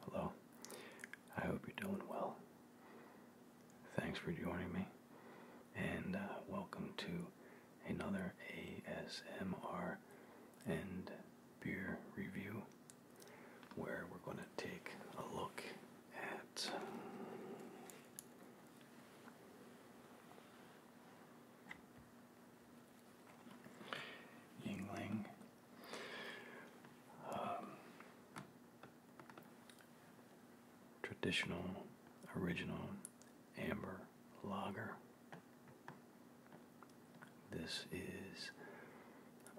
Hello. I hope you're doing well. Thanks for joining me, and uh, welcome to another ASMR and beer review where we're going to take a look at. Yingling um, traditional, original amber lager. This is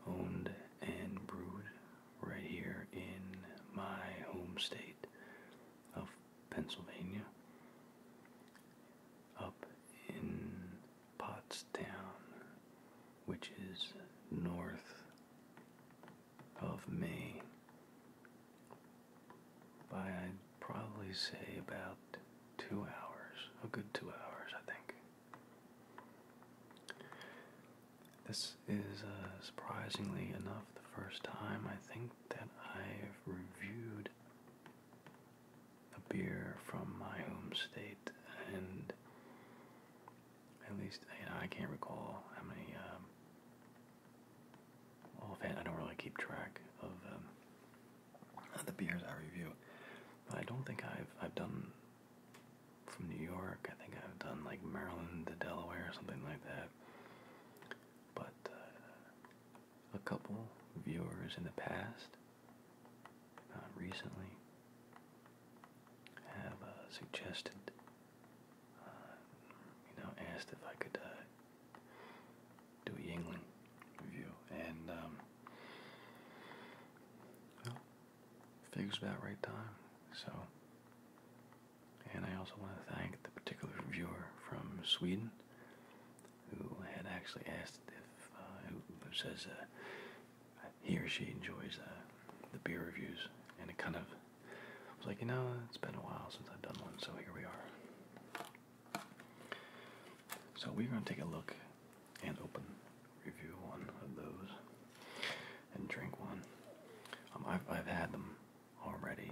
owned and brewed right here in my home state of Pennsylvania, up in Pottstown, which is north of me by I'd probably say about two hours, a good two hours, I think. This is uh, surprisingly enough the first time I think that I've reviewed a beer from my home state, and at least I can't recall how many. Um, I don't really keep track um, of, the beers I review, but I don't think I've I've done from New York. I think I've done like Maryland to Delaware or something like that. But uh, a couple viewers in the past uh, recently have uh, suggested, uh, you know, asked if I could do a Yingling review, and um, well, figures about right time. So, and I also want to thank the particular viewer from Sweden who had actually asked if, who, who says, uh, he or she enjoys uh, the beer reviews, and it kind of was like, you know, it's been a while since I've done one, so here we are. So we're going to take a look and open review one of those and drink one. Um, I've, I've had them already,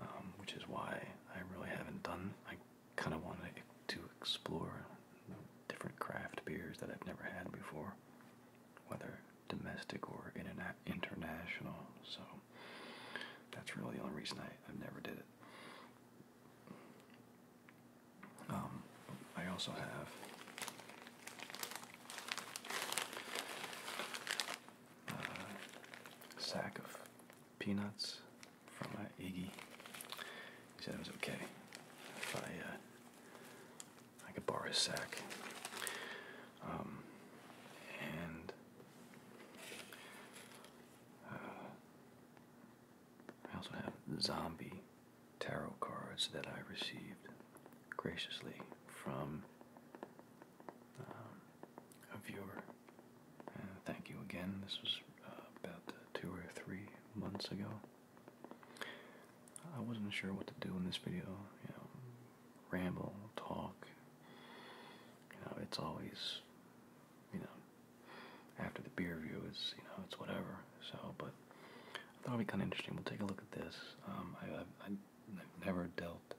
um, which is why I really haven't done, I kind of wanted to explore different craft beers that I've never had before, whether domestic or interna international. So that's really the only reason I, I never did it. Um, I also have a sack of peanuts from uh, Iggy. He said it was okay if I, uh, I could borrow his sack. Um, and uh, I also have zombie tarot cards that I received graciously from um, a viewer. thank you again. This was uh, about two or three months ago. I wasn't sure what to do in this video, you know, ramble, talk. You know, it's always, you know, after the beer view is, you know, it's whatever. So, but I thought it'd be kind of interesting. We'll take a look at this. Um, I, I, I've never dealt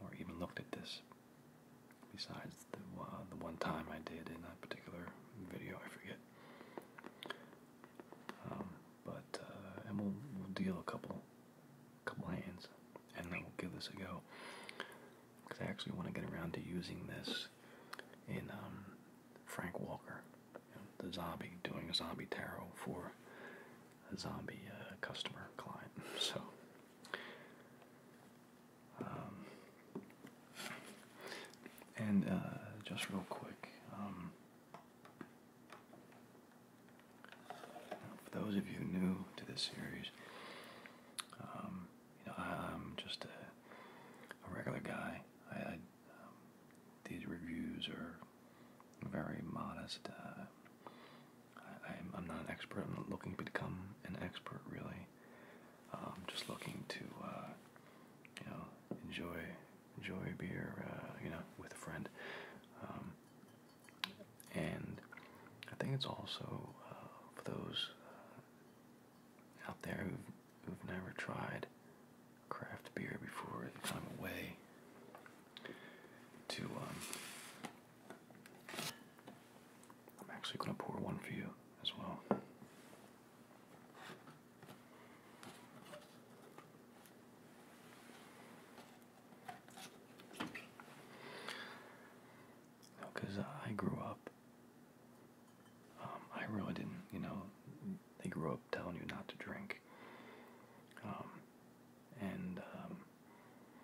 or even looked at this besides the, uh, the one time I did in that particular video, I forget. Um, but uh, and we'll we'll deal a couple, couple hands, and then we'll give this a go. Because I actually want to get around to using this in um, Frank Walker, the zombie doing a zombie tarot for a zombie uh, customer client. So um, and uh, just real quick, um, for those of you new to this series, um, you know, I, am just a, regular guy. I, I these reviews are very modest. Uh, I, am I'm not an expert. I'm not looking to become an expert, really um, just looking to uh, you know enjoy enjoy beer uh, you know with a friend um, and I think it's also uh, for those out there who've, never tried craft beer before it's kind of a to um, I'm actually going to pour one for you as well because uh, I grew up. Um, I really didn't, you know, they grew up telling you not to drink. Um, and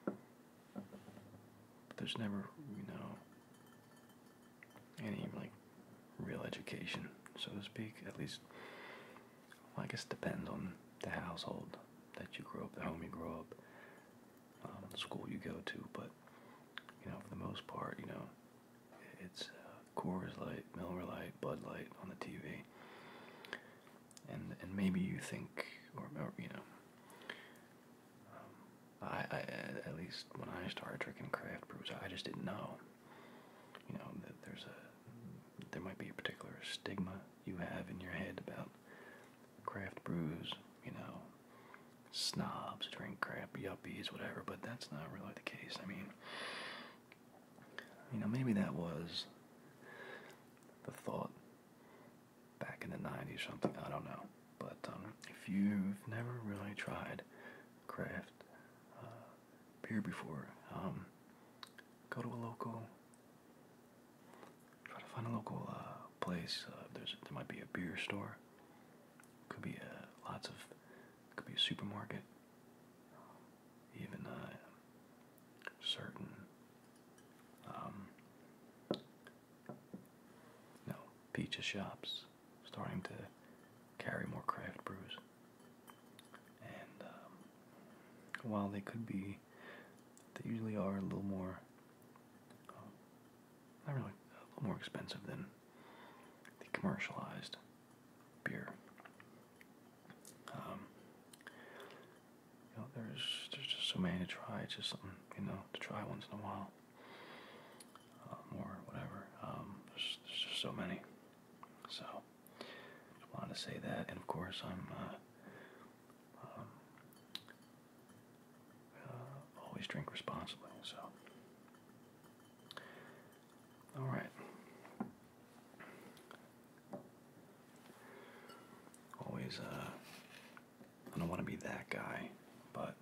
um, there's never, you know, any like real education, so to speak. At least, I guess depends on the household that you grow up, the home you grow up, um, the school you go to. But you know, for the most part, you know, it's uh, Coors Light, Miller Light, Bud Light on the TV, and and maybe you think, or, you know. Um, I, I at least when I started drinking craft brews, I just didn't know. You know that there's a there might be a particular stigma you have in your head about craft brews. You know, snobs drink crap, yuppies, whatever. But that's not really the case. I mean, you know, maybe that was the thought back in the '90s, something. I don't know. But um, if you've never really tried craft uh, beer before. Um, go to a local, try to find a local uh, place. Uh, there's there might be a beer store. Could be uh, lots of, could be a supermarket. Um, even certain. Um, no, pizza shops starting to carry more craft brews. And um, while they could be, they usually are a little more, uh, not really, a little more expensive than the commercialized beer. Um, you know, there's there's just so many to try. It's just something you know to try once in a while. Uh, um, whatever. there's, just so many. So I want to say that, and of course I'm uh, um, uh, always drink responsibly. So all right. Always, I don't want to be that guy, but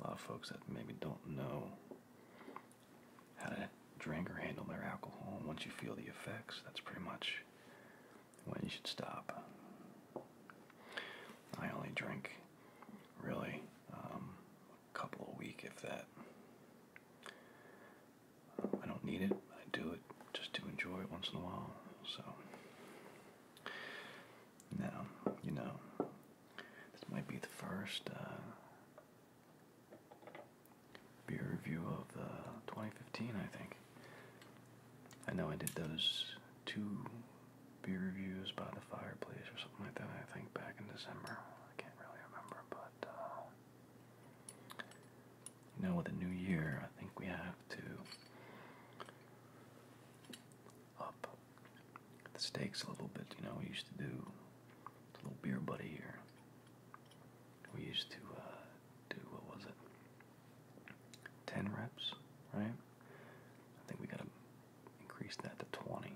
a lot of folks that maybe don't know how to drink or handle their alcohol. once you feel the effects, that's pretty much when you should stop. I only drink really um, a couple of week, if that. I don't need it, I do it just to enjoy it once in a while. So, now, you know, this might be the first uh, beer review of uh, 2015, I think. I know I did those two beer reviews by the fireplace or something like that, I think, back in December. I can't really remember, but, uh, with the new year, I think we have to up the stakes a little bit. You know, we used to do a little beer buddy here. We used to uh, do what was it? Ten reps, right? I think we gotta increase that to twenty.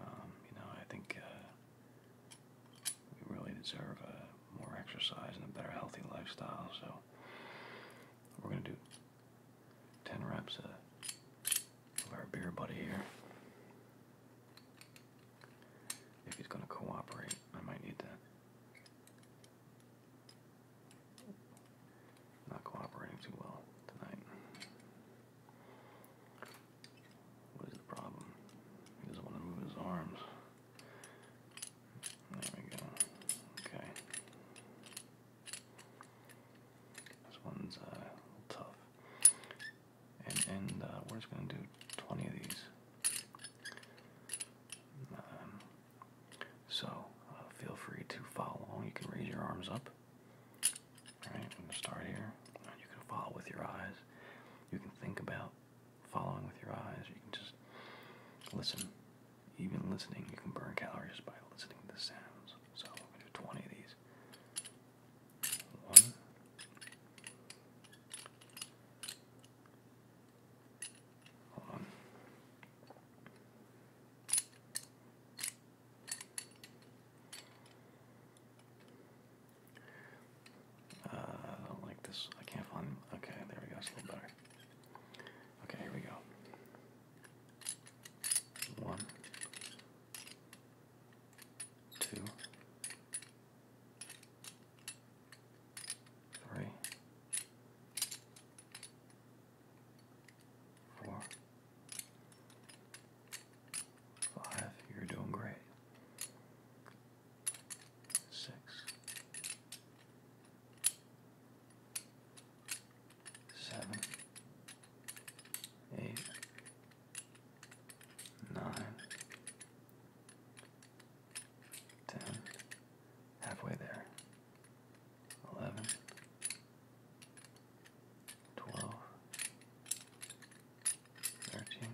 Um, you know, I think uh, we really deserve uh, more exercise and a better healthy lifestyle. So we're gonna do 10 reps of, our beer buddy here. If he's going to cooperate, I might need that. Not cooperating too well tonight. What is the problem? He doesn't want to move his arms. There we go. Okay. This one's uh, a little tough. And, uh, we're just going to do 20 of these. Um, so uh, feel free to follow along. You can raise your arms up. Alright, start here. You can follow with your eyes. You can think about following with your eyes. You can just listen even listening, you can burn calories by listening to the sounds. So I'm gonna do 20 of these. One. Hold on. Uh, I don't like this. I can't find. Okay, there we go. a little better. Okay, here we go. One, two, three, four, five. You're doing great. Six seven, eight, nine, ten, halfway there, eleven, twelve, thirteen,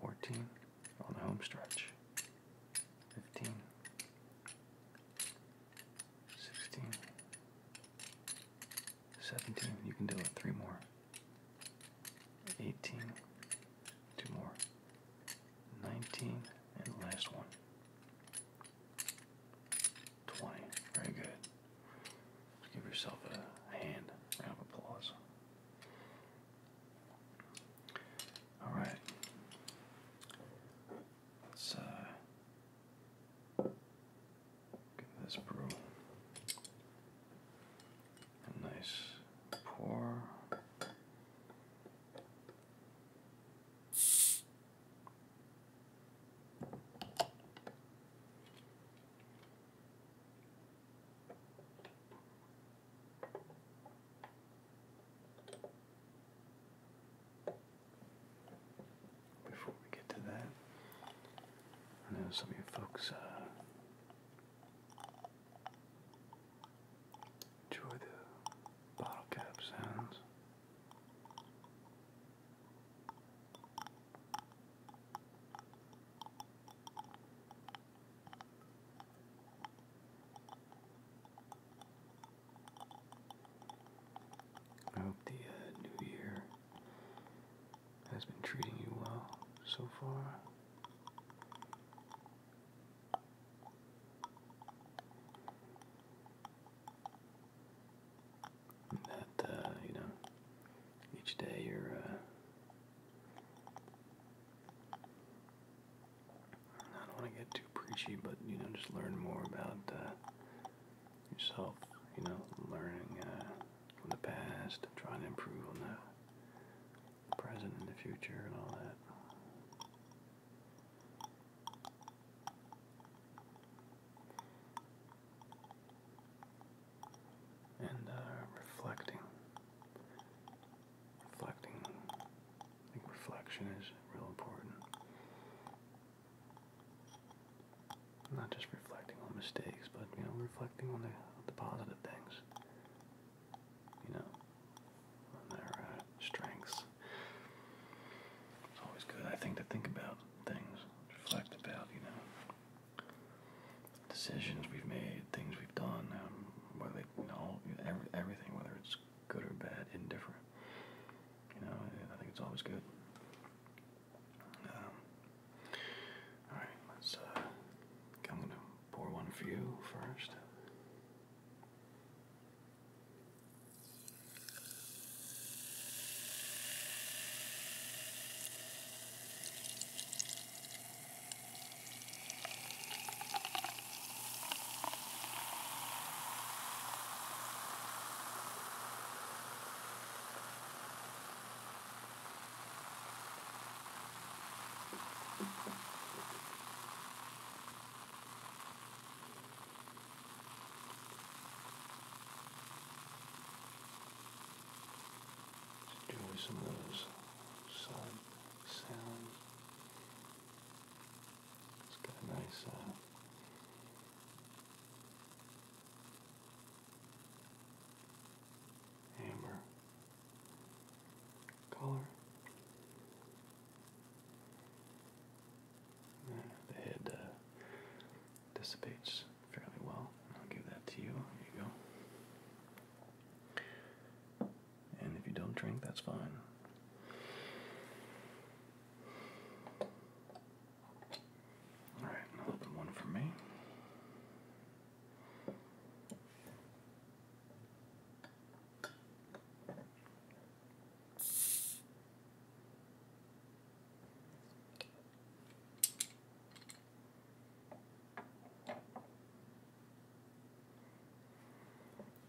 fourteen on the home stretch. 15 16 17 you can do it three more 18 two more 19 and last one 20 very good give yourself a hand round of applause all right Let's uh, give this brew. A nice pour. Before we get to that, I know some of you folks uh, enjoy the bottle cap sounds. I hope the uh, new year has been treating you well so far. that, uh, you know, each day you're, uh, I don't want to get too preachy, but you know, just learn more about uh, yourself. You know, learning uh, from the past, and trying to improve on the present and the future, and all that. And uh, reflecting reflecting. I think reflection is real important. Not just reflecting on mistakes, but you know, reflecting on the, the positive things. You know, on their uh, strengths. It's always good, I think, to think about things, reflect about, you know, decisions we've made, things we've done, um, whether you know, every, everything, whether it's good or bad, indifferent. You know, I think it's always good. Um, all right, let's. Uh, I'm gonna pour one for you first. Enjoy some of those solid sounds. It's got a nice uh, color. The head uh, dissipates fairly well. I'll give that to you. There you go. And if you don't drink, that's fine. Alright, one for me.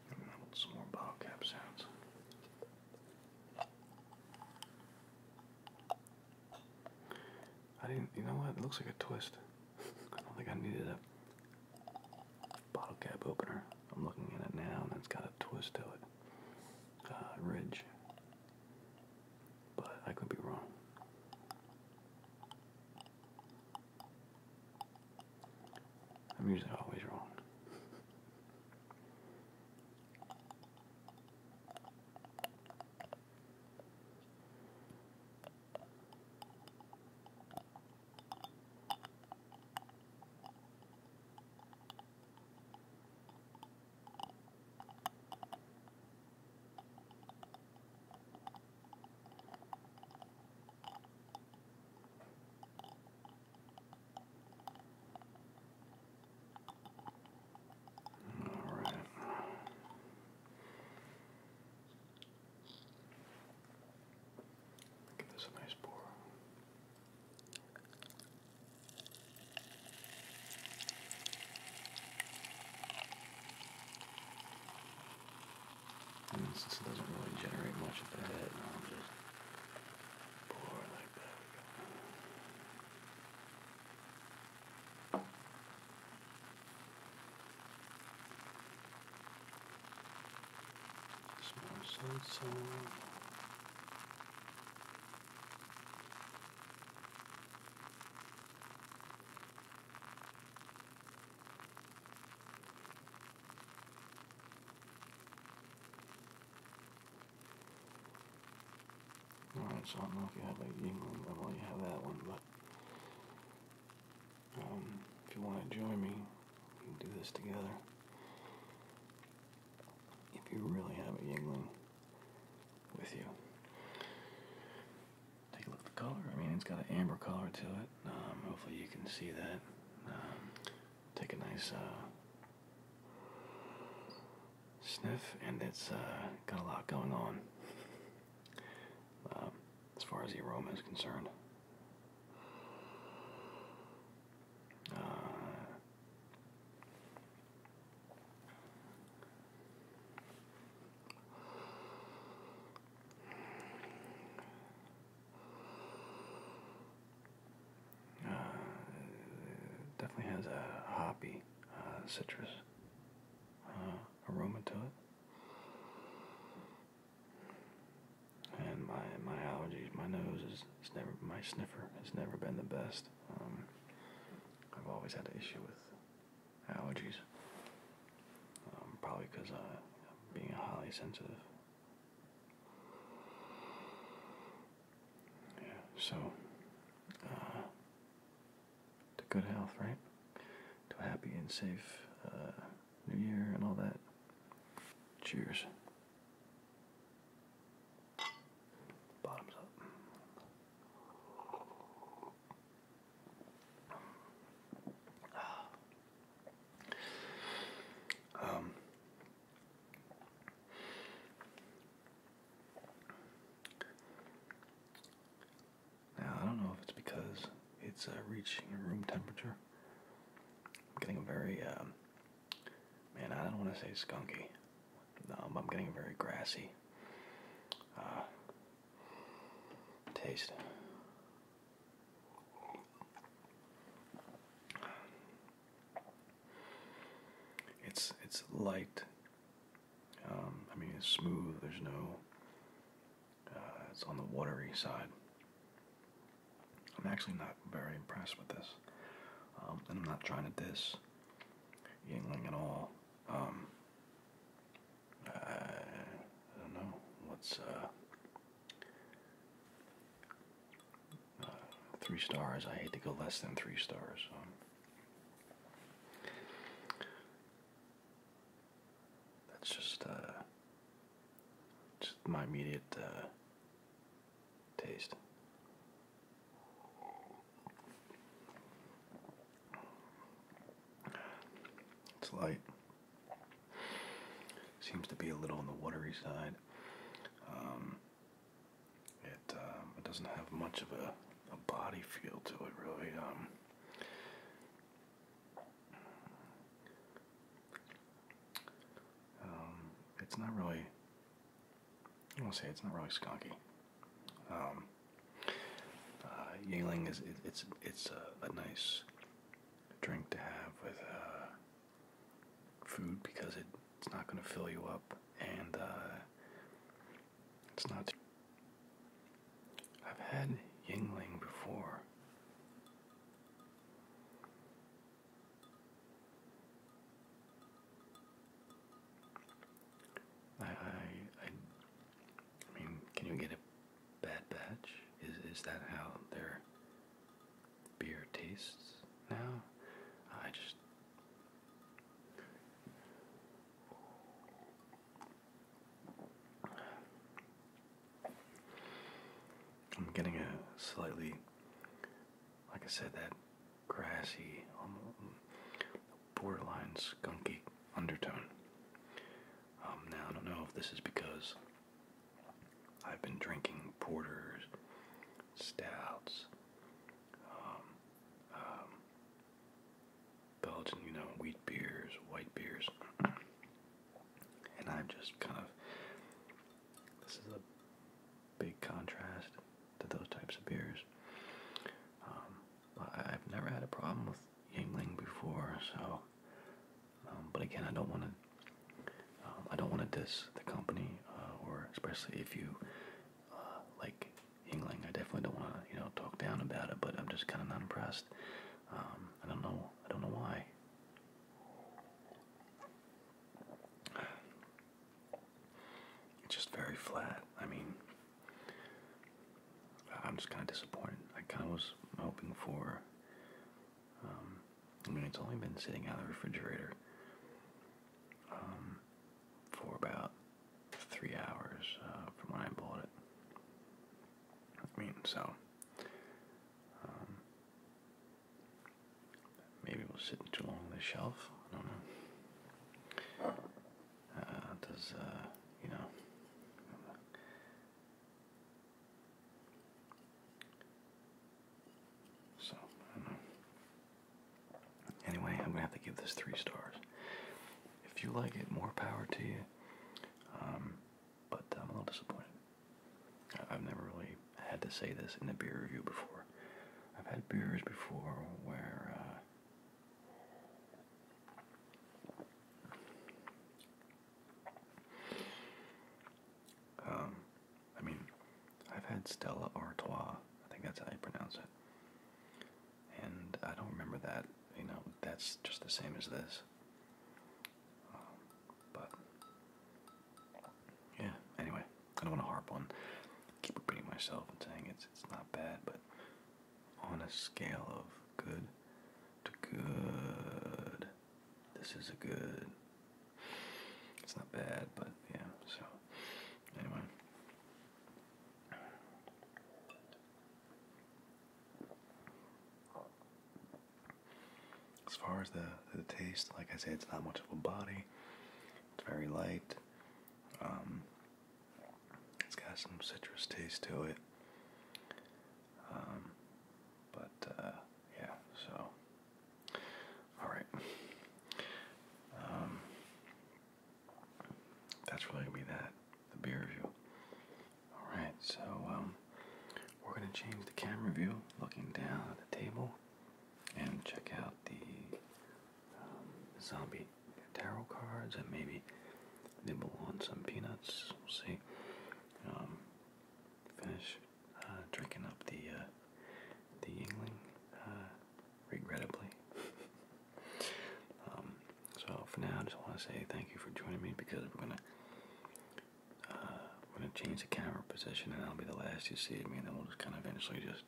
Melt some more bottle cap sounds. I didn't, you know what? It looks like a twist. I don't think I needed a bottle cap opener. I'm looking at it now and it's got a twist to it. Uh, ridge. But I could be wrong. I'm usually always wrong. All right. Give this a nice pour. And since it doesn't really generate much of a head, I'll just pour like that. Some more Alright, so I don't know if you have like England level, you have that one, but um, if you want to join me, we can do this together. If you really have a Yingling with you. Take a look at the color. I mean, it's got an amber color to it. Um, hopefully you can see that. Um, Take a nice uh, sniff, and it's uh, got a lot going on um, as far as the aroma is concerned. Uh, uh, definitely has a hoppy uh, citrus uh, aroma to it. And my my allergies, my nose is never my sniffer has never been the best. Um, I've always had an issue with allergies. Um, probably because uh, being a highly sensitive yeah, so uh, to good health, right? To a happy and safe uh, New Year and all that. Cheers. Bottoms up. Um, now, I don't know if it's because it's uh, reaching room temperature. I'm getting a very, um, man, I don't want to say skunky. Um, I'm getting a very grassy uh, taste. It's it's light. Um, I mean, it's smooth. There's no. Uh, it's on the watery side. I'm actually not very impressed with this, um, and I'm not trying to diss Yingling at all. Um, I, don't know. What's uh, three stars. I hate to go less than three stars. So. That's just uh, just my immediate uh, taste. It's light. Seems to be a little on the watery side. Um, it, um, it doesn't have much of a, a body feel to it, really. Um. it's not really. I want to say it's not really skunky. Um, uh, is it's it's a, nice drink to have with uh, food because it, it's not going to fill you up and uh, it's not. I've had Yingling before. I, I, I mean, can you get a bad batch? Is is that how they're beer tastes now. I just. I'm getting a slightly, like I said, that grassy, um, borderline skunky undertone. Um, now, I don't know if this is because I've been drinking porters, stouts, um, um, Belgian, you know, wheat beers, white beers, and i am just kind of. This is a big contrast to those types of beers. Um, I've never had a problem with Yingling before, so um, but again, I don't want to. Um, I don't want to diss the company, uh, or especially if you uh, like Yingling. I definitely don't want to, you know, talk down about it. But I'm just kind of not impressed. Um, I don't know. I don't know why. It's just very flat. I mean, I'm just kind of disappointed. I kind of was hoping for I mean, it's only been sitting out of the refrigerator um, for about three hours uh, from when I bought it. I mean, so um, maybe it will sit too long on the shelf. I don't know. Uh, does uh, you know? So, Anyway, I'm gonna have to give this three stars. If you like it, more power to you. Um, but I'm a little disappointed. I've never really had to say this in a beer review before. I've had beers before where uh, um, I mean, I've had Stella Artois. I think that's how you pronounce it. And I don't remember that. You know, that's just the same as this. Um, but yeah. Anyway, I don't want to harp on. Keep repeating myself and saying it's it's not bad, but on a scale of good to good, this is a good. It's not bad, but yeah, so anyway. As far as the, the taste, like I said, it's not much of a body. It's very light. Um, it's got some citrus taste to it. Um, but uh, yeah, so all right. Um, that's really going to be that, the beer review. All right, so um, we're going to change the camera view, looking down at the table, and check out the um, zombie tarot cards and maybe nibble on some peanuts. We'll see. Um, finish uh, drinking up the uh, the Yingling uh, regrettably. Um, so for now, I just want to say thank you for joining me because we're gonna we're gonna change the camera position and I'll be the last you see of me, and then we'll just kind of eventually just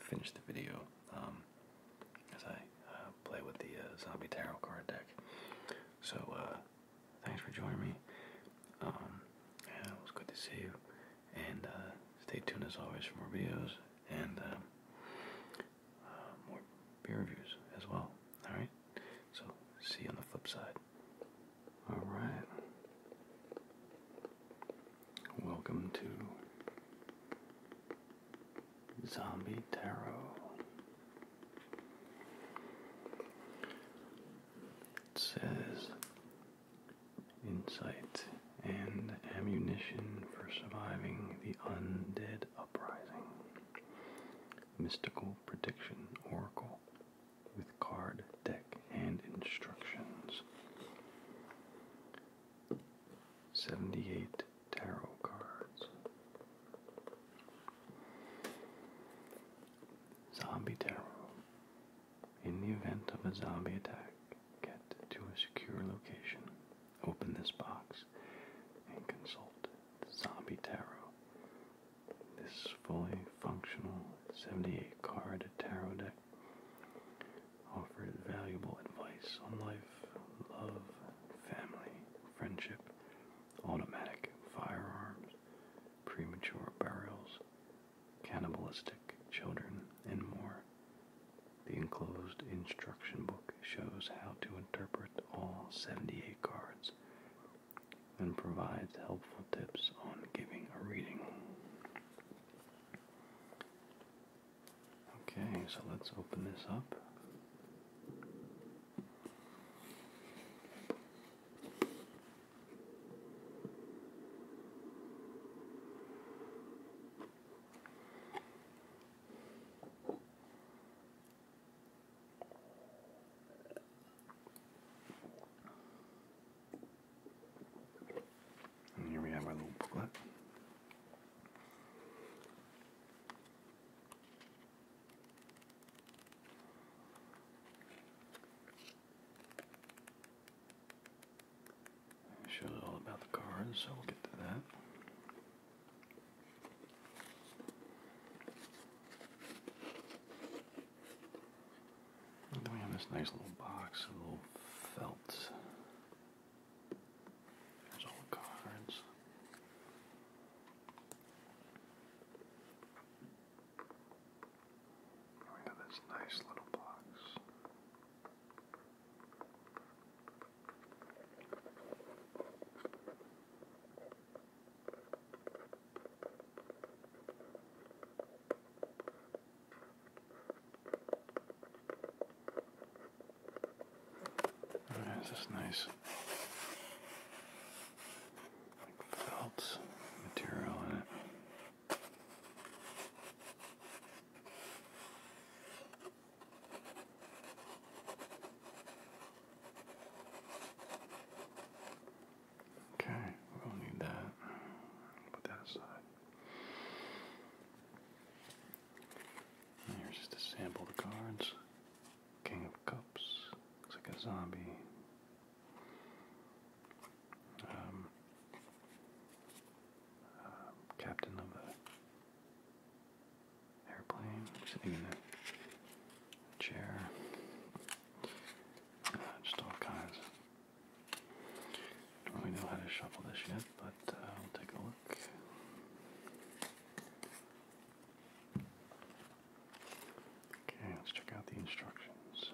finish the video um, as I play with the zombie tarot card deck. So. Thanks for joining me. Um, it was good to see you. And uh, stay tuned as always for more videos and uh, uh, more beer reviews as well. Alright? So, see you on the flip side. Alright. Welcome to Zombie Tarot. It says insight and ammunition for surviving the undead uprising. Mystical prediction oracle with card deck and instructions. 78 tarot cards. Zombie tarot. In the event of a zombie attack, get to a secure location, open this box, and consult the Zombie Tarot. This fully functional 78 card tarot deck offers valuable advice on life, love, family, friendship, automatic firearms, premature burials, cannibalistic children, and more. The enclosed instruction book shows how to interpret all 78 cards and provides helpful tips on giving a reading. Okay, so let's open this up. And here we have our little booklet. It shows all about the cards, so we'll get to that. then we have this nice little box, a little felt. There's all the cards. We oh, have this nice little box. There's oh, this nice like felt material in it. Okay, we will need that. Put that aside. here's just a sample of the cards. King of Cups. Looks like a zombie. Um, um, captain of the airplane sitting in a chair. Uh, just all kinds. Don't really know how to shuffle this yet, but uh, I'll take a look. Okay, let's check out the instructions.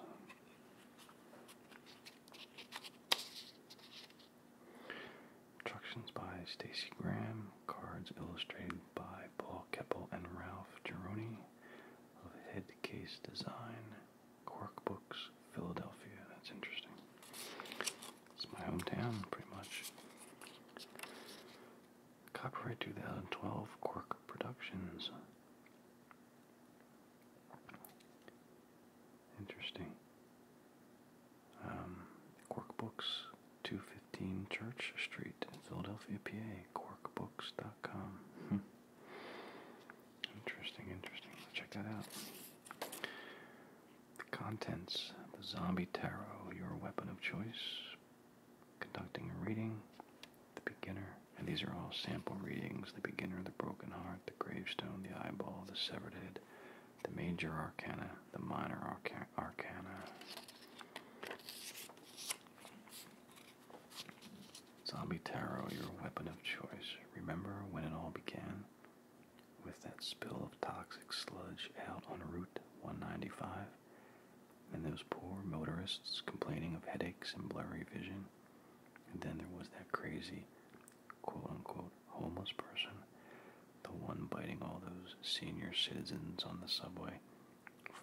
Instructions by Stacy Graham, cards illustrated by Paul Keppel and Ralph Gironi of Headcase Design, Cork Books, Philadelphia. That's interesting. It's my hometown, pretty much. Copyright 2012 Cork Productions. Interesting. Um, Books, 215 Church Street, Philadelphia, PA. Corkbooks.com. Hmm. Interesting, interesting. Check that out. The contents the Zombie Tarot, your weapon of choice. Conducting a reading, the beginner, and these are all sample readings the beginner, the broken heart, the gravestone, the eyeball, the severed head, the major arcana, the minor arcana. Zombie Tarot, your weapon of choice. Remember when it all began? With that spill of toxic sludge out on Route 195? And those poor motorists complaining of headaches and blurry vision? And then there was that crazy, quote unquote, homeless person, the one biting all those senior citizens on the subway,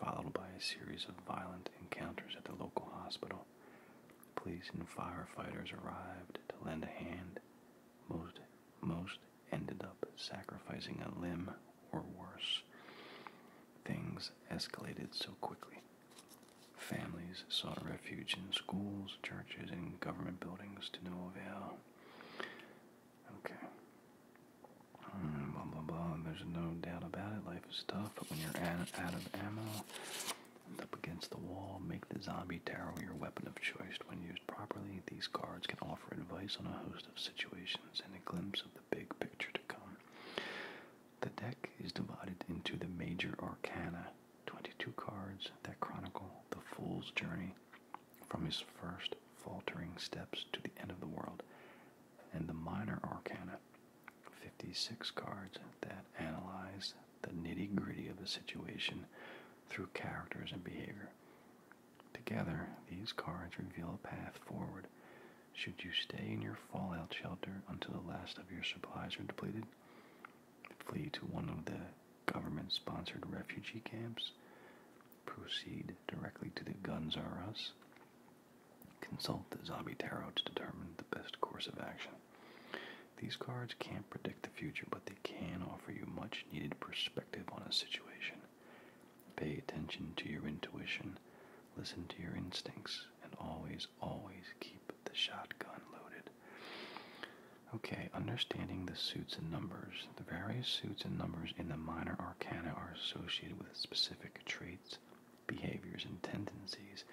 followed by a series of violent encounters at the local hospital. Police and firefighters arrived to lend a hand. Most, most ended up sacrificing a limb or worse. Things escalated so quickly. Families sought refuge in schools, churches, and government buildings to no avail. Okay. Hmm, blah, blah, blah. There's no doubt about it. Life is tough, but when you're out of ammo, and up against the wall, make the zombie tarot your weapon of choice. When used properly, these cards can offer advice on a host of situations and a glimpse of the big picture to come. The deck is divided into the major arcana, 22 cards that chronicle the fool's journey from his first faltering steps to the end of the world, and the minor arcana, 56 cards that analyze the nitty gritty of a situation through characters and behavior. Together, these cards reveal a path forward should you stay in your fallout shelter until the last of your supplies are depleted? Flee to one of the government sponsored refugee camps? Proceed directly to the Guns R Us? Consult the Zombie Tarot to determine the best course of action. These cards can't predict the future, but they can offer you much needed perspective on a situation. Pay attention to your intuition, listen to your instincts, and always always, keep the shotgun loaded. Okay, understanding the suits and numbers. The various suits and numbers in the minor arcana are associated with specific traits, behaviors, and tendencies.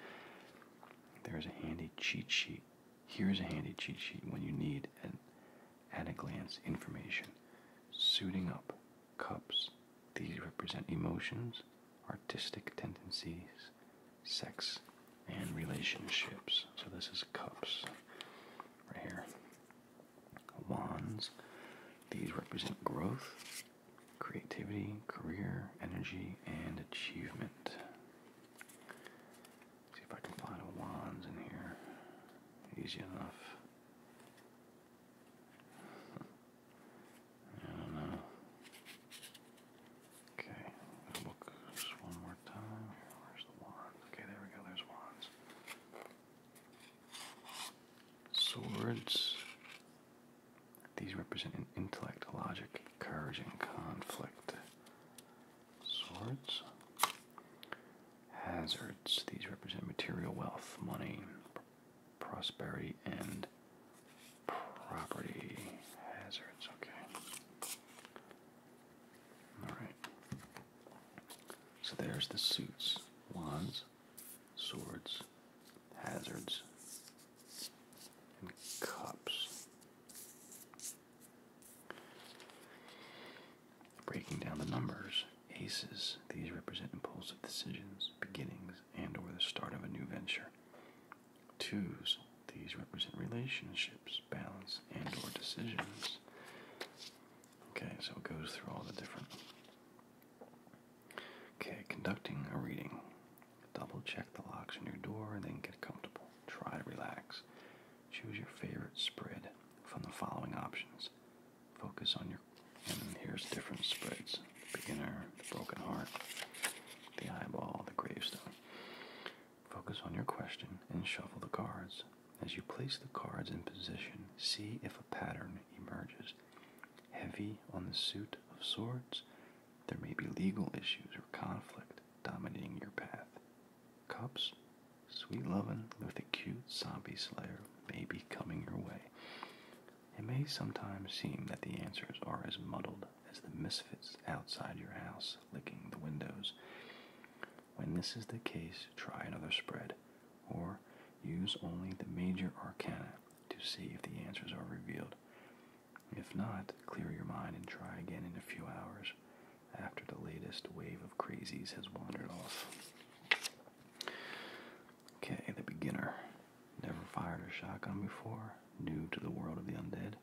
There's a handy cheat sheet. Here's a handy cheat sheet when you need an at a glance information. Suiting up, cups. These represent emotions, artistic tendencies, sex, and relationships. So this is cups right here. Wands. These represent growth, creativity, career, energy, and achievement. see if I can find a wands in here. Easy enough. I don't know. Okay, we just one more time. Where's the wand? Okay, there we go. There's wands. Swords. These represent an intellect, logic, courage, and conflict. Swords. Hazards. These represent material wealth, money, prosperity and property hazards. Okay. All right. So there's the suits, wands, swords, hazards, and cups. Breaking down the numbers, aces, these represent impulsive decisions, beginnings, and or the start of a new venture. Twos, these represent relationships, balance, and or decisions. Okay, so it goes through all the different. Okay, conducting a reading. Double check the locks on your door and then get comfortable. Try to relax. Choose your favorite spread from the following options. Focus on your and here's different spreads beginner, broken heart, the eyeball, the gravestone. Focus on your question and shuffle the cards. As you place the cards in position, see if a pattern emerges. Heavy on the suit of swords, there may be legal issues or conflict dominating your path. Cups, sweet lovin' with a cute zombie slayer may be coming your way. It may sometimes seem that the answers are as muddled as the misfits outside your house licking the windows. When this is the case, try another spread, or use only the major arcana to see if the answers are revealed. If not, clear your mind and try again in a few hours after the latest wave of crazies has wandered off. Okay, the beginner. Never fired a shotgun before, new to the world of the undead.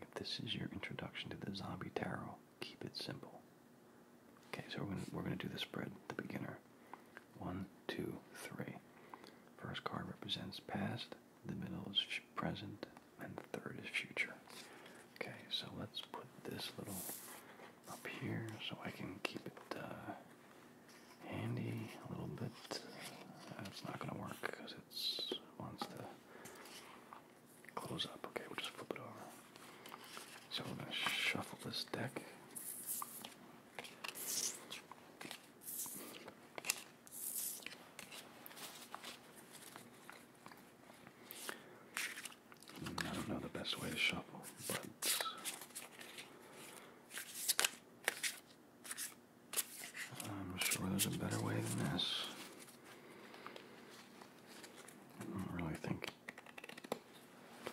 If this is your introduction to the zombie tarot, keep it simple. Okay, so we're gonna, we're gonna do the spread, the beginner. One, two, three. First card represents past, the middle is present, and the third is future. Okay, so let's put this little up here so I can keep it uh, handy a little bit. That's not going to work because it wants to close up. Okay, we'll just flip it over. So we're going to shuffle this deck. I don't know the best way to shuffle, I'm sure there's a better way than this. I don't really think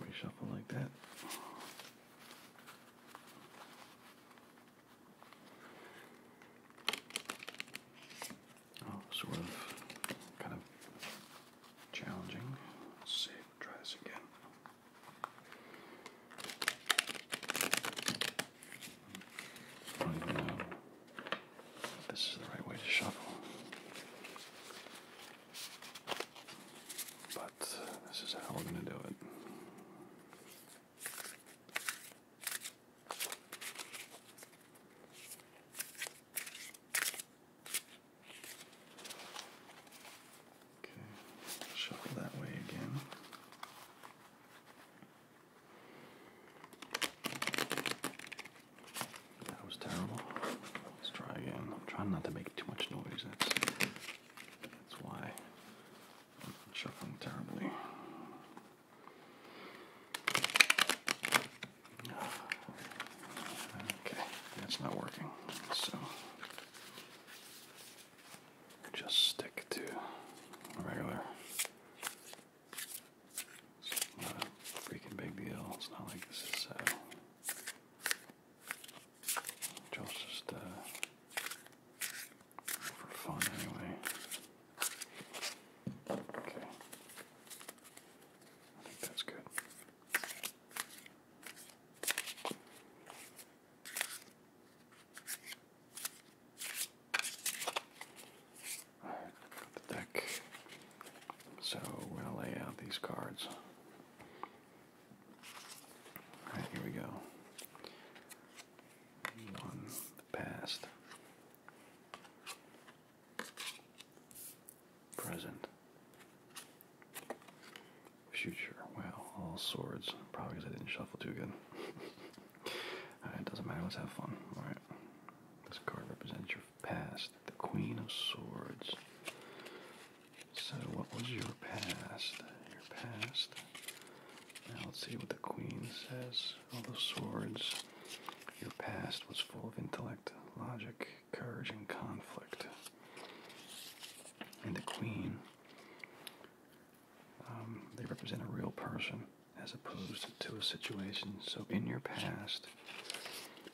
we shuffle like that. Oh, sort of kind of challenging. Let's see, try this again. I don't even know if this is the right way to shuffle. But this is how we're going to do it. Okay, shuffle that way again. That was terrible. Let's try again. I'm trying not to make too much noise. That's that's why I'm shuffling terribly. Okay, that's not working. So just stick to regular. not a freaking big deal. It's not like this is uh, just uh, for fun anyway. Okay, I think that's good. Alright, got the deck. So we're gonna lay out these cards. Alright, here we go. One the past. Present. Future. Wow, all swords. Probably because I didn't shuffle too good. Alright, doesn't matter. Let's have fun. Alright. This card represents your past. The Queen of Swords. So, what was your past? Your past. Now, let's see what the Queen says. All the swords. Your past was full of intellect, logic, courage, and conflict. And the Queen um, they represent a real person as opposed to a situation. So in your past,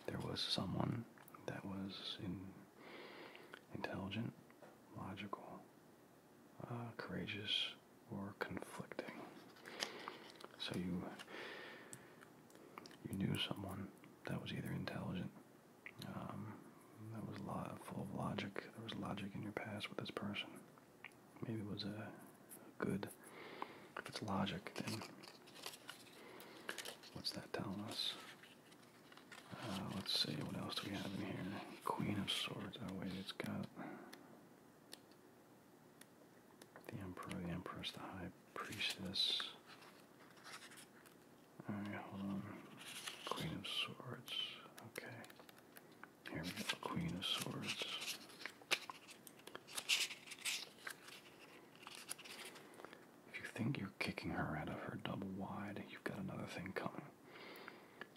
there was someone that was intelligent, logical, uh, courageous, or conflicting. So you you knew someone that was either intelligent um, that was lo full of logic. There was logic in your past with this person. Maybe it was a, good. If it's logic, then what's that telling us? Uh, let's see, what else do we have in here? Queen of Swords. Oh, wait, it's got the Emperor, the Empress, the High Priestess. Alright, hold on. Queen of Swords. Okay. Here we go. Queen of Swords. If you think you're kicking her out of her double wide, you've got another thing coming.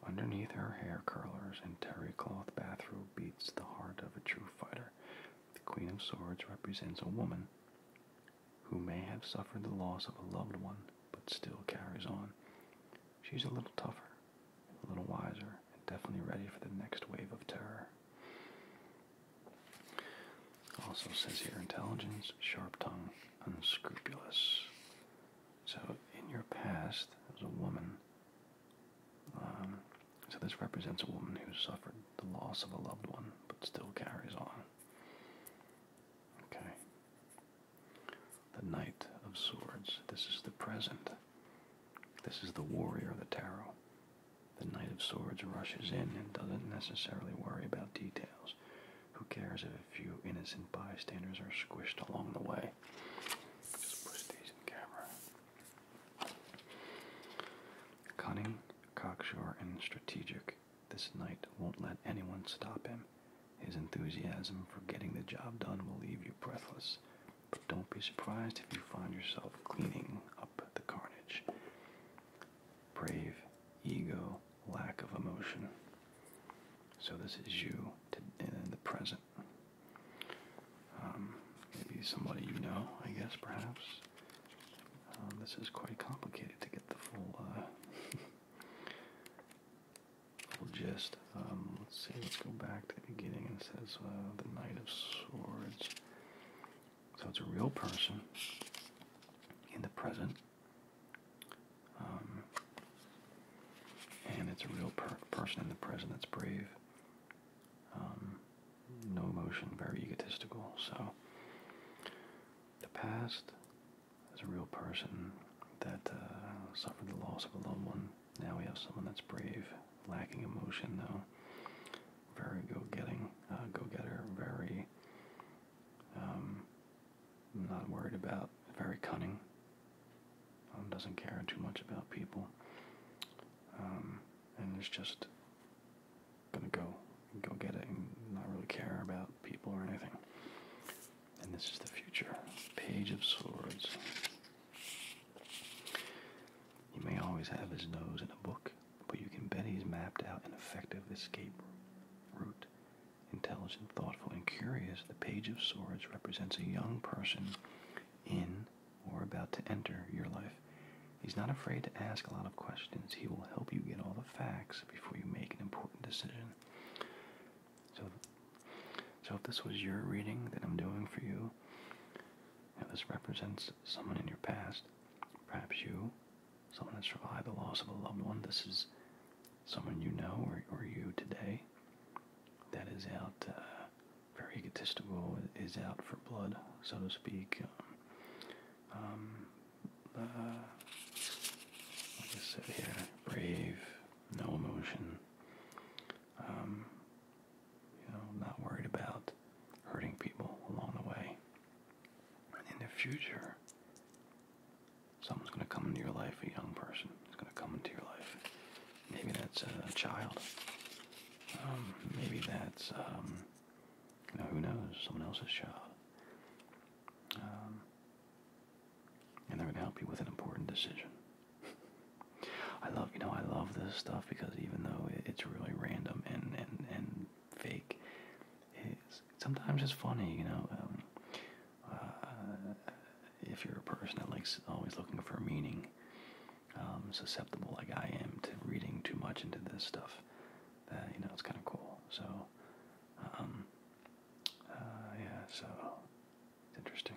Underneath her hair curlers and terry cloth bathrobe beats the heart of a true fighter. The Queen of Swords represents a woman who may have suffered the loss of a loved one but still carries on. She's a little tougher, a little wiser, and definitely ready for the next wave of terror. Also says here intelligence, sharp tongue, unscrupulous. So in your past, as a woman. Um, so this represents a woman who suffered the loss of a loved one but still carries on. Okay. The Knight of Swords. This is the present. This is the warrior of the tarot. The Knight of Swords rushes in and doesn't necessarily worry about details. Who cares if a few innocent bystanders are squished along the way? Just push these in camera. Cunning, cocksure, and strategic. This knight won't let anyone stop him. His enthusiasm for getting the job done will leave you breathless, but don't be surprised if you find yourself cleaning up the carnage. Brave, ego, lack of emotion. So, this is you in the present. Um, maybe somebody you know, I guess, perhaps. Uh, this is quite complicated to get the full uh, We'll just, um, let's see, let's go back to the beginning. It says uh, the Knight of Swords. So it's a real person in the present. Um, and it's a real person in the present that's brave. Um, no emotion, very egotistical. So the past, as a real person that uh, suffered the loss of a loved one. Now we have someone that's brave, lacking emotion though, very go-getting, uh, go-getter, very um, not worried about, very cunning, um, doesn't care too much about people, um, and is just gonna go, go get it, and not really care about people or anything. And this is the future. Page of Swords. He may always have his nose in a book, but you can bet he's mapped out an effective escape route. Intelligent, thoughtful, and curious, the Page of Swords represents a young person in or about to enter your life. He's not afraid to ask a lot of questions. He will help you get all the facts before you make an important decision so, so if this was your reading that I'm doing for you, you this represents someone in your past, perhaps you, someone that survived the loss of a loved one. This is someone you know or, you today that is out uh, very egotistical, is out for blood, so to speak. Um, um, uh, like I said here, brave, no emotion. Um, you know, not worried about hurting people along the way. And in the future, someone's going to come into your life, a young person it's going to come into your life. Maybe that's a child. Um, maybe that's, um, you know, who knows, someone else's child. Um, and that would help you with an important decision. I love, you know, I love this stuff because even though it's really random and and and fake, it's sometimes it's funny, you know. Um, uh, if you're a person that likes always looking for meaning, um, susceptible like I am to reading too much into this stuff, that you know it's kind of cool. So, um, uh, yeah, so interesting.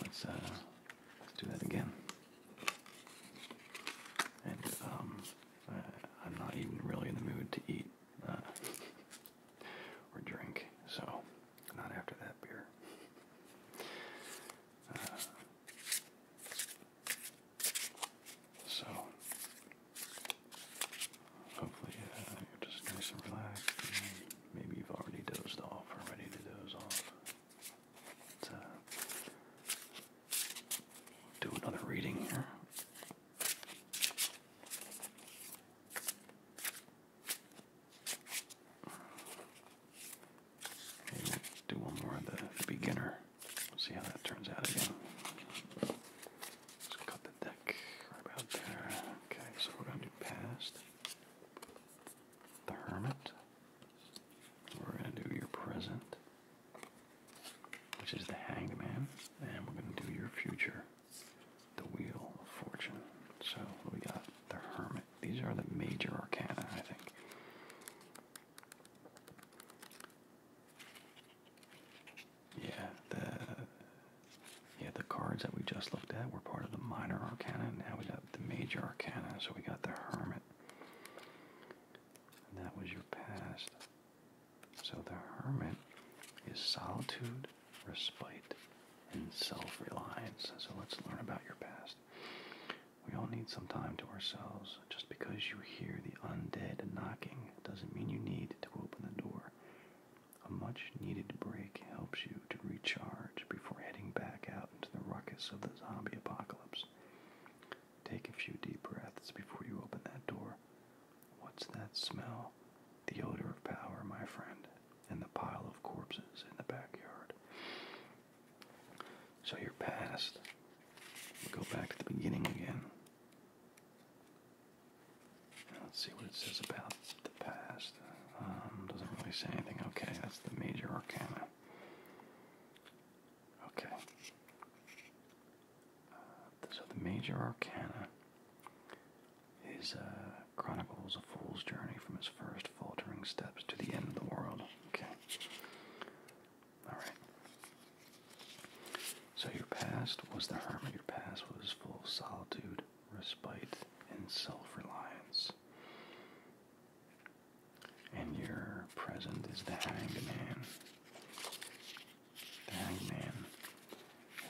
Let's uh, let's do that again. And um, I, am not even really in the mood to eat uh, or drink, so not after that beer. so Hopefully, you're just nice and relaxed. maybe you've already dozed off or ready to doze off. Let's uh, do another reading here. do one more of the beginner. see how that turns out again. Just cut the deck right about there. Okay, so we're going to do past the hermit. We're going to do your present, which is the Hangman, and we're going to do your future, the wheel of fortune. So we got the hermit. These are the major arcana, I think. Yeah, the yeah the cards that we just looked at were part of the minor arcana. now we got the major arcana, so we got the hermit, that was your past. So the hermit is solitude, respite, and self-reliance. So let's learn about your past. We all need some time to ourselves. Just because you hear the undead knocking doesn't mean you need to open the door. A much needed break helps you to recharge before heading back out into the ruckus of the zombie apocalypse. Take a few deep breaths before you open that door. What's that smell? The odor of power, my friend, and the pile of corpses in the backyard. So you're past. go back to the beginning again. Let's see what it says about the past. Um, doesn't really say anything. Okay, that's the major arcana. Okay. Uh, so the major arcana is uh, chronicles a fool's journey from his first faltering steps to the end of the world. Okay. All right. So your past was the hermit, your past was full of solitude, respite, and self reliance. And your present is the hangman. The hangman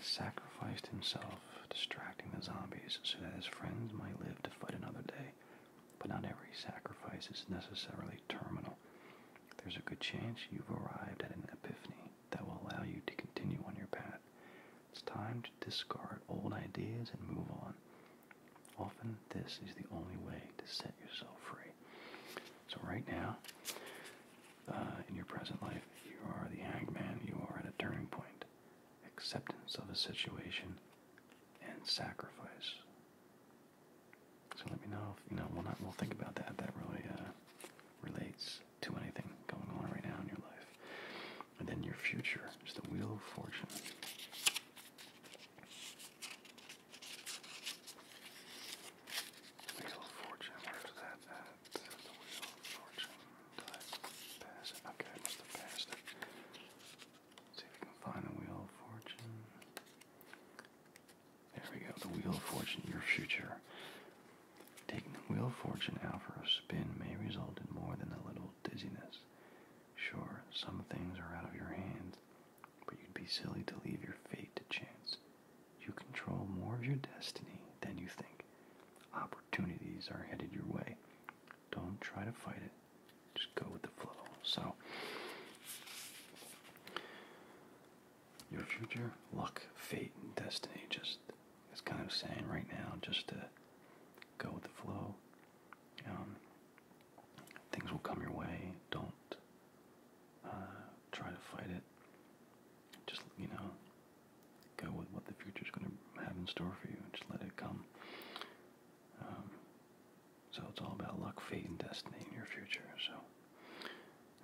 sacrificed himself, distracting the zombies so that his friends might live to fight another day. But not every sacrifice is necessarily terminal. There's a good chance you've arrived at an epiphany that will allow you to continue on your path. It's time to discard old ideas and move on. Often, this is the only way to set yourself free. So, right now, uh, in your present life, you are the hanged you are at a turning point. Acceptance of a situation and sacrifice. So let me know if you know. We'll not. We'll think about that. That really uh, relates to anything going on right now in your life, and then your future is the wheel of fortune. Wheel fortune. Where's that at? The wheel fortune. Did I pass it? Okay, must have passed it. see if we can find the wheel of fortune. There we go, the Wheel of Fortune, your future. Taking the Wheel of Fortune out for a spin may result in more than a little dizziness. Sure, some things are out of your hands, but you'd be silly to leave your fate to chance. You control more of your destiny than you think. Opportunities are headed your way. Don't try to fight it. Just go with the flow. So, your future, luck, fate, and destiny. Just it's kind of saying right now, just to go with the flow. Um, things will come your way. Don't uh, try to fight it. Just you know, go with what the future is going to have in store for you, just let it come. Um, so it's all about luck, fate, and destiny in your future. So i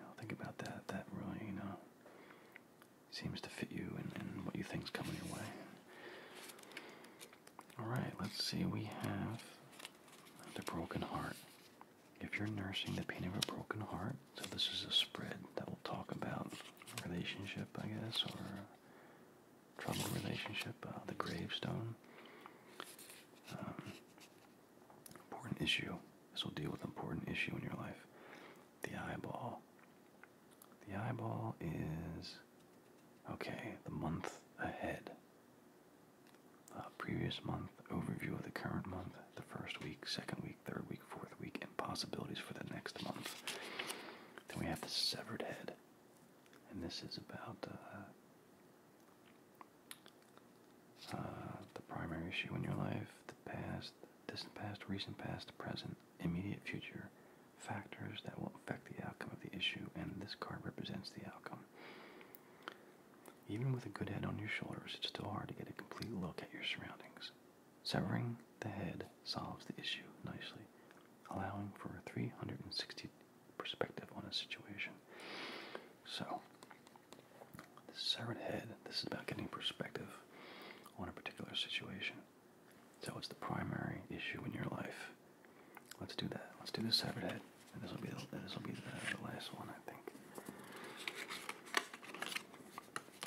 Now think about that. That really, you know, seems to fit you and, what you think is coming your way. Alright, let's see. We have the broken heart. If you're nursing the pain of a broken heart, so this is a spread that will talk about relationship, I guess, or troubled relationship, uh, the gravestone. Um, Important issue. This will deal with important issue in your life. The eyeball. The eyeball is. Okay, the month ahead. Uh, previous month, overview of the current month, the first week, second week, third week, fourth week, and possibilities for the next month. Then we have the severed head. And this is about uh, uh, the primary issue in your life, the past, distant past, recent past, present, immediate future, factors that will affect the outcome of the issue, and this card represents the outcome. Even with a good head on your shoulders, it's still hard to get a complete look at your surroundings. Severing the head solves the issue nicely, allowing for a 360 perspective on a situation. So, the severed head, this is about getting perspective on a particular situation. So what's the primary issue in your life. Let's do that. Let's do the severed head. And this will be the, this will be the, last one, I think.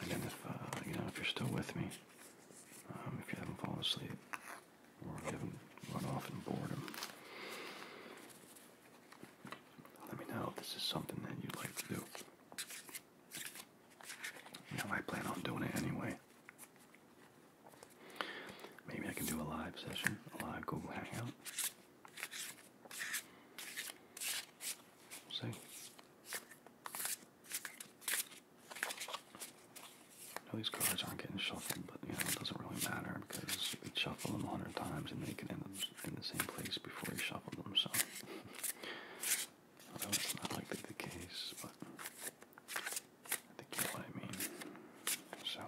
And then if, uh, you know, if you're still with me, um, if you haven't fallen asleep, or you haven't run off in boredom, um, let me know if this is something that you'd like to do. You I plan on doing it anyway. Maybe I can do a live session, a live Google Hangout. see. I these cards aren't getting shuffled, but you know, it doesn't really matter because we shuffle them a hundred times and they can end up in the same place before he shuffled them, so well, that not likely the case, but I think you know what I mean. So,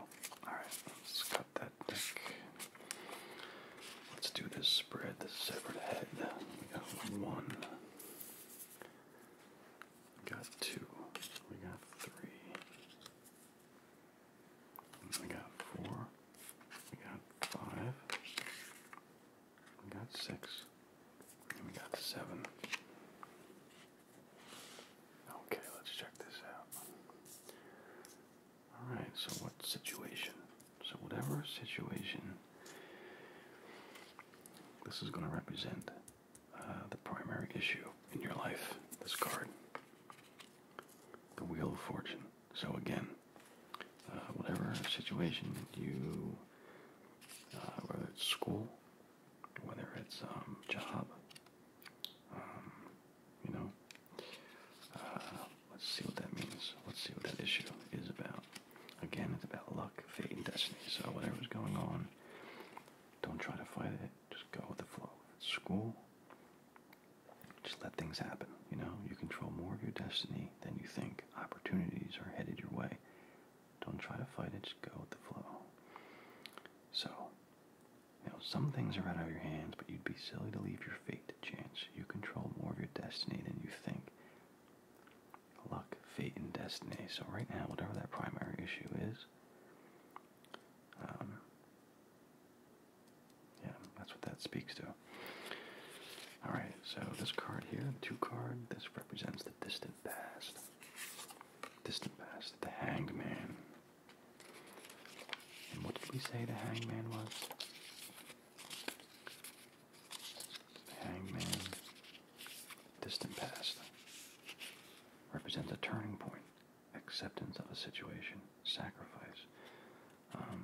alright, let's cut that deck. Let's do this spread, the severed head. We got one. We got two. We got three. We got four. We got five. We got six. we got seven. Okay, let's check this out. Alright, so what situation? So, whatever situation, this is going to represent uh, the primary issue in your life. This card, the Wheel of Fortune. So again, uh, whatever situation you, uh, whether it's school, whether it's um, job, um, you know, uh, let's see what that means. Let's see what that issue is about. Again, it's about luck, fate, and destiny. So whatever's going on, don't try to fight it. Just go with the flow. it's school, just let things happen. You know, you control more of your destiny than you think. Opportunities are headed your way. Don't try to fight it, just go with the flow. So, you know, some things are out of your hands, but you'd be silly to leave your fate to chance. You control more of your destiny than you think. Luck, fate, and destiny. So, right now, whatever that primary issue is, um, yeah, that's what that speaks to. Alright, so this card here, two card, this represents the distant past. Distant past, the hangman. And what did we say the hangman was? Hangman, distant past, represents a turning point, acceptance of a situation, sacrifice. Um,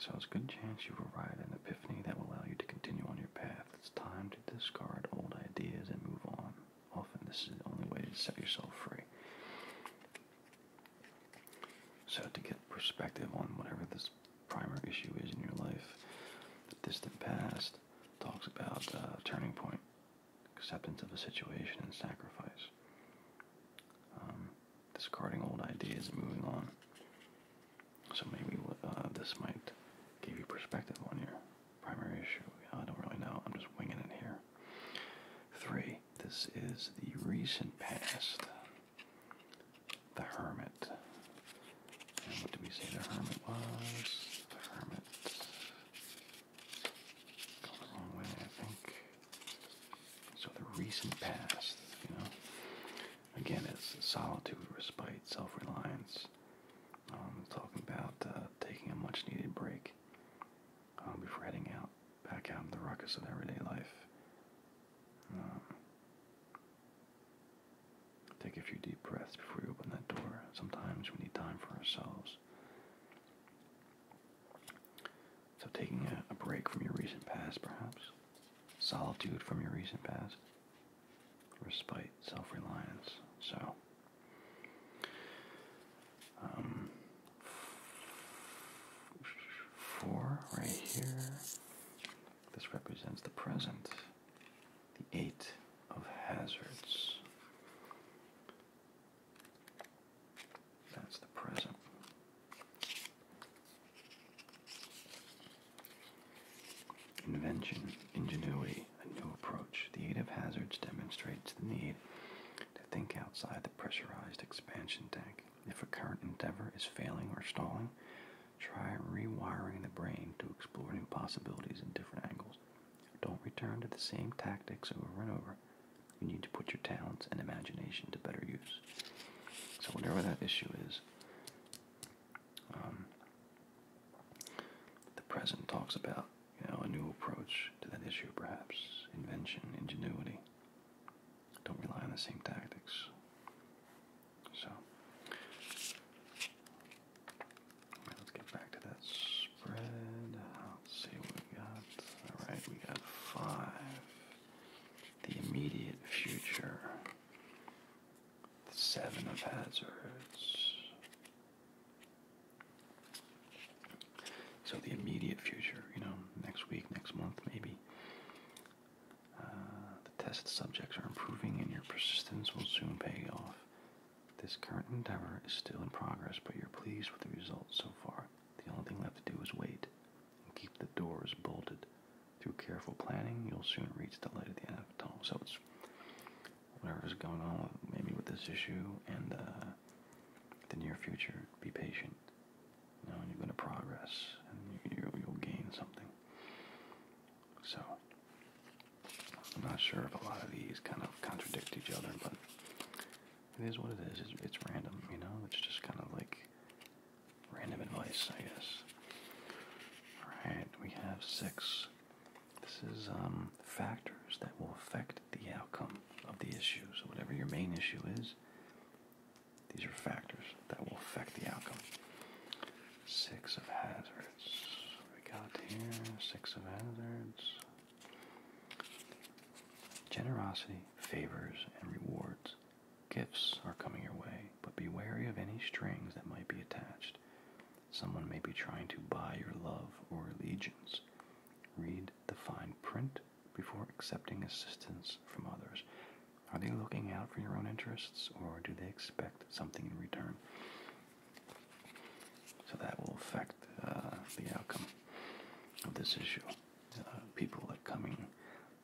so it's a good chance you will ride an epiphany that will allow you to continue on your path. It's time to discard old ideas and move on. Often this is the only way to set yourself free. So to get perspective on whatever this primer issue is in your life, the distant past talks about uh, turning point acceptance of a situation and sacrifice. Um, discarding old ideas and moving on. So maybe uh, this might give you perspective on your primary issue. I don't really know. I'm just winging it here. Three. This is the recent past. The Hermit. And what did we say the Hermit was? The Hermit. Goes a long way, I think. So the recent past, you know. Again, it's solitude, respite, self-reliance. Um, talking about uh, taking a much-needed break um, before heading out, back out into the ruckus of everyday life. Um, take a few deep breaths before you open that door. Sometimes we need time for ourselves. So, taking a, break from your recent past, perhaps, solitude from your recent past, respite, self reliance. So, um, four right here. This represents the present, the eight of hazards. That's the present. Invention, ingenuity, a new approach. The aid of hazards demonstrates the need to think outside the pressurized expansion tank. If a current endeavor is failing or stalling, try rewiring the brain to explore new possibilities in different angles. Don't return to the same tactics over and over. You need to put your talents and imagination to better use. So, whatever that issue is, um, the president talks about you know a new approach to that issue, perhaps invention, ingenuity. Don't rely on the same tactics. So, let's get back to that Let's see what we got. All right, we got five. The immediate future. The seven of hazards. So the immediate future, you know, next week, next month, maybe. Uh, the test subjects are improving and your persistence will soon pay off. This current endeavor is still in progress, but you're pleased with the results so far. The only thing left to do is wait and keep the doors bolted. Through careful planning, you'll soon reach the light at the end of the tunnel. So it's whatever is going on, with, maybe with this issue and uh, the near future. Be patient. You know, you're going to progress and you'll gain something. So, I'm not sure if a lot of these kind of contradict each other, but it is what it is. It's, random, you know? It's just kind of like random advice, I guess. Alright, we have six. This is um, factors that will affect the outcome of the issue. So, whatever your main issue is, these are factors that will affect the outcome. Six of hazards. we got here? Six of hazards. Generosity favors and rewards. Gifts are coming your way, but be wary of any strings that might be attached. Someone may be trying to buy your love or allegiance. Read the fine print before accepting assistance from others. Are they looking out for your own interests or do they expect something in return? So that will affect uh, the outcome of this issue. Uh, people that coming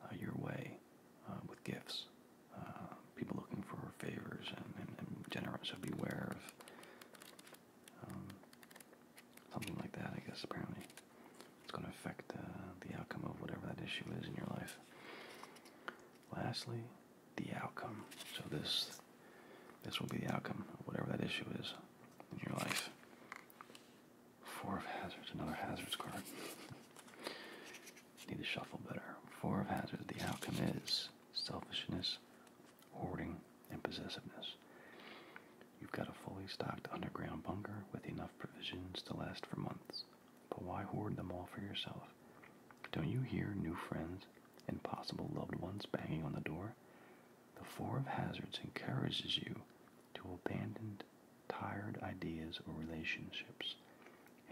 uh, your way uh, with gifts, people looking for favors and, and, generous. So beware of um, something like that. I guess apparently it's going to affect the outcome of whatever that issue is in your life. Lastly, the outcome. So this this will be the outcome of whatever that issue is in your life. Four of Hazards, another Hazards card. Need to shuffle better. Four of Hazards, the outcome is selfishness, hoarding, and possessiveness. You've got a fully stocked underground bunker with enough provisions to last for months. But why hoard them all for yourself? Don't you hear new friends and possible loved ones banging on the door? The Four of Hazards encourages you to abandon tired ideas or relationships.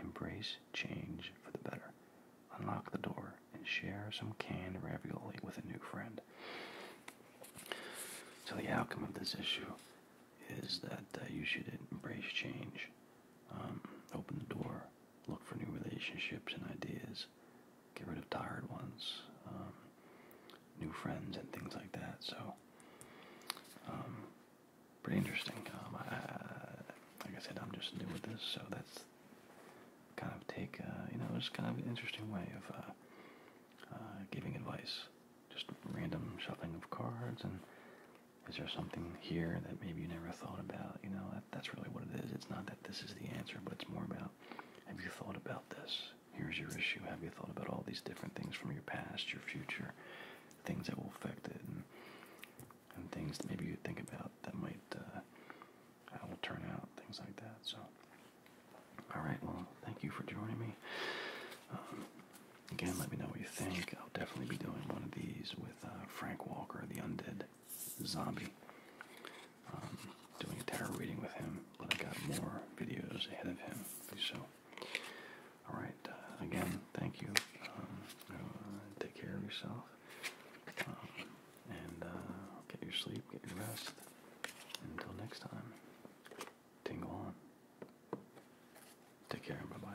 Embrace change for the better. Unlock the door and share some canned ravioli with a new friend. So, the outcome of this issue is that uh, you should embrace change, um, open the door, look for new relationships and ideas, get rid of tired ones, um, new friends, and things like that. So, um, pretty interesting. Um, like I said, I'm just new with this, so that's kind of take, uh, you know, it's kind of an interesting way of uh, uh, giving advice. Just random shuffling of cards, and is there something here that maybe you never thought about? You know, that's really what it is. It's not that this is the answer, but it's more about have you thought about this? Here's your issue. Have you thought about all these different things from your past, your future, things that will affect it, and, and things that maybe you think about that might, how uh, it will turn out, things like that. So, all right, well, thank you for joining me. Um, again, let me know what you think. I'll definitely be doing one of these with uh, Frank Walker, the undead zombie um, doing a tarot reading with him, but I got more videos ahead of him. So, all right. Uh, again, thank you. Um, uh, take care of yourself, um, and uh, get your sleep, get your rest. Until next time, tingle on. Take care. Bye bye.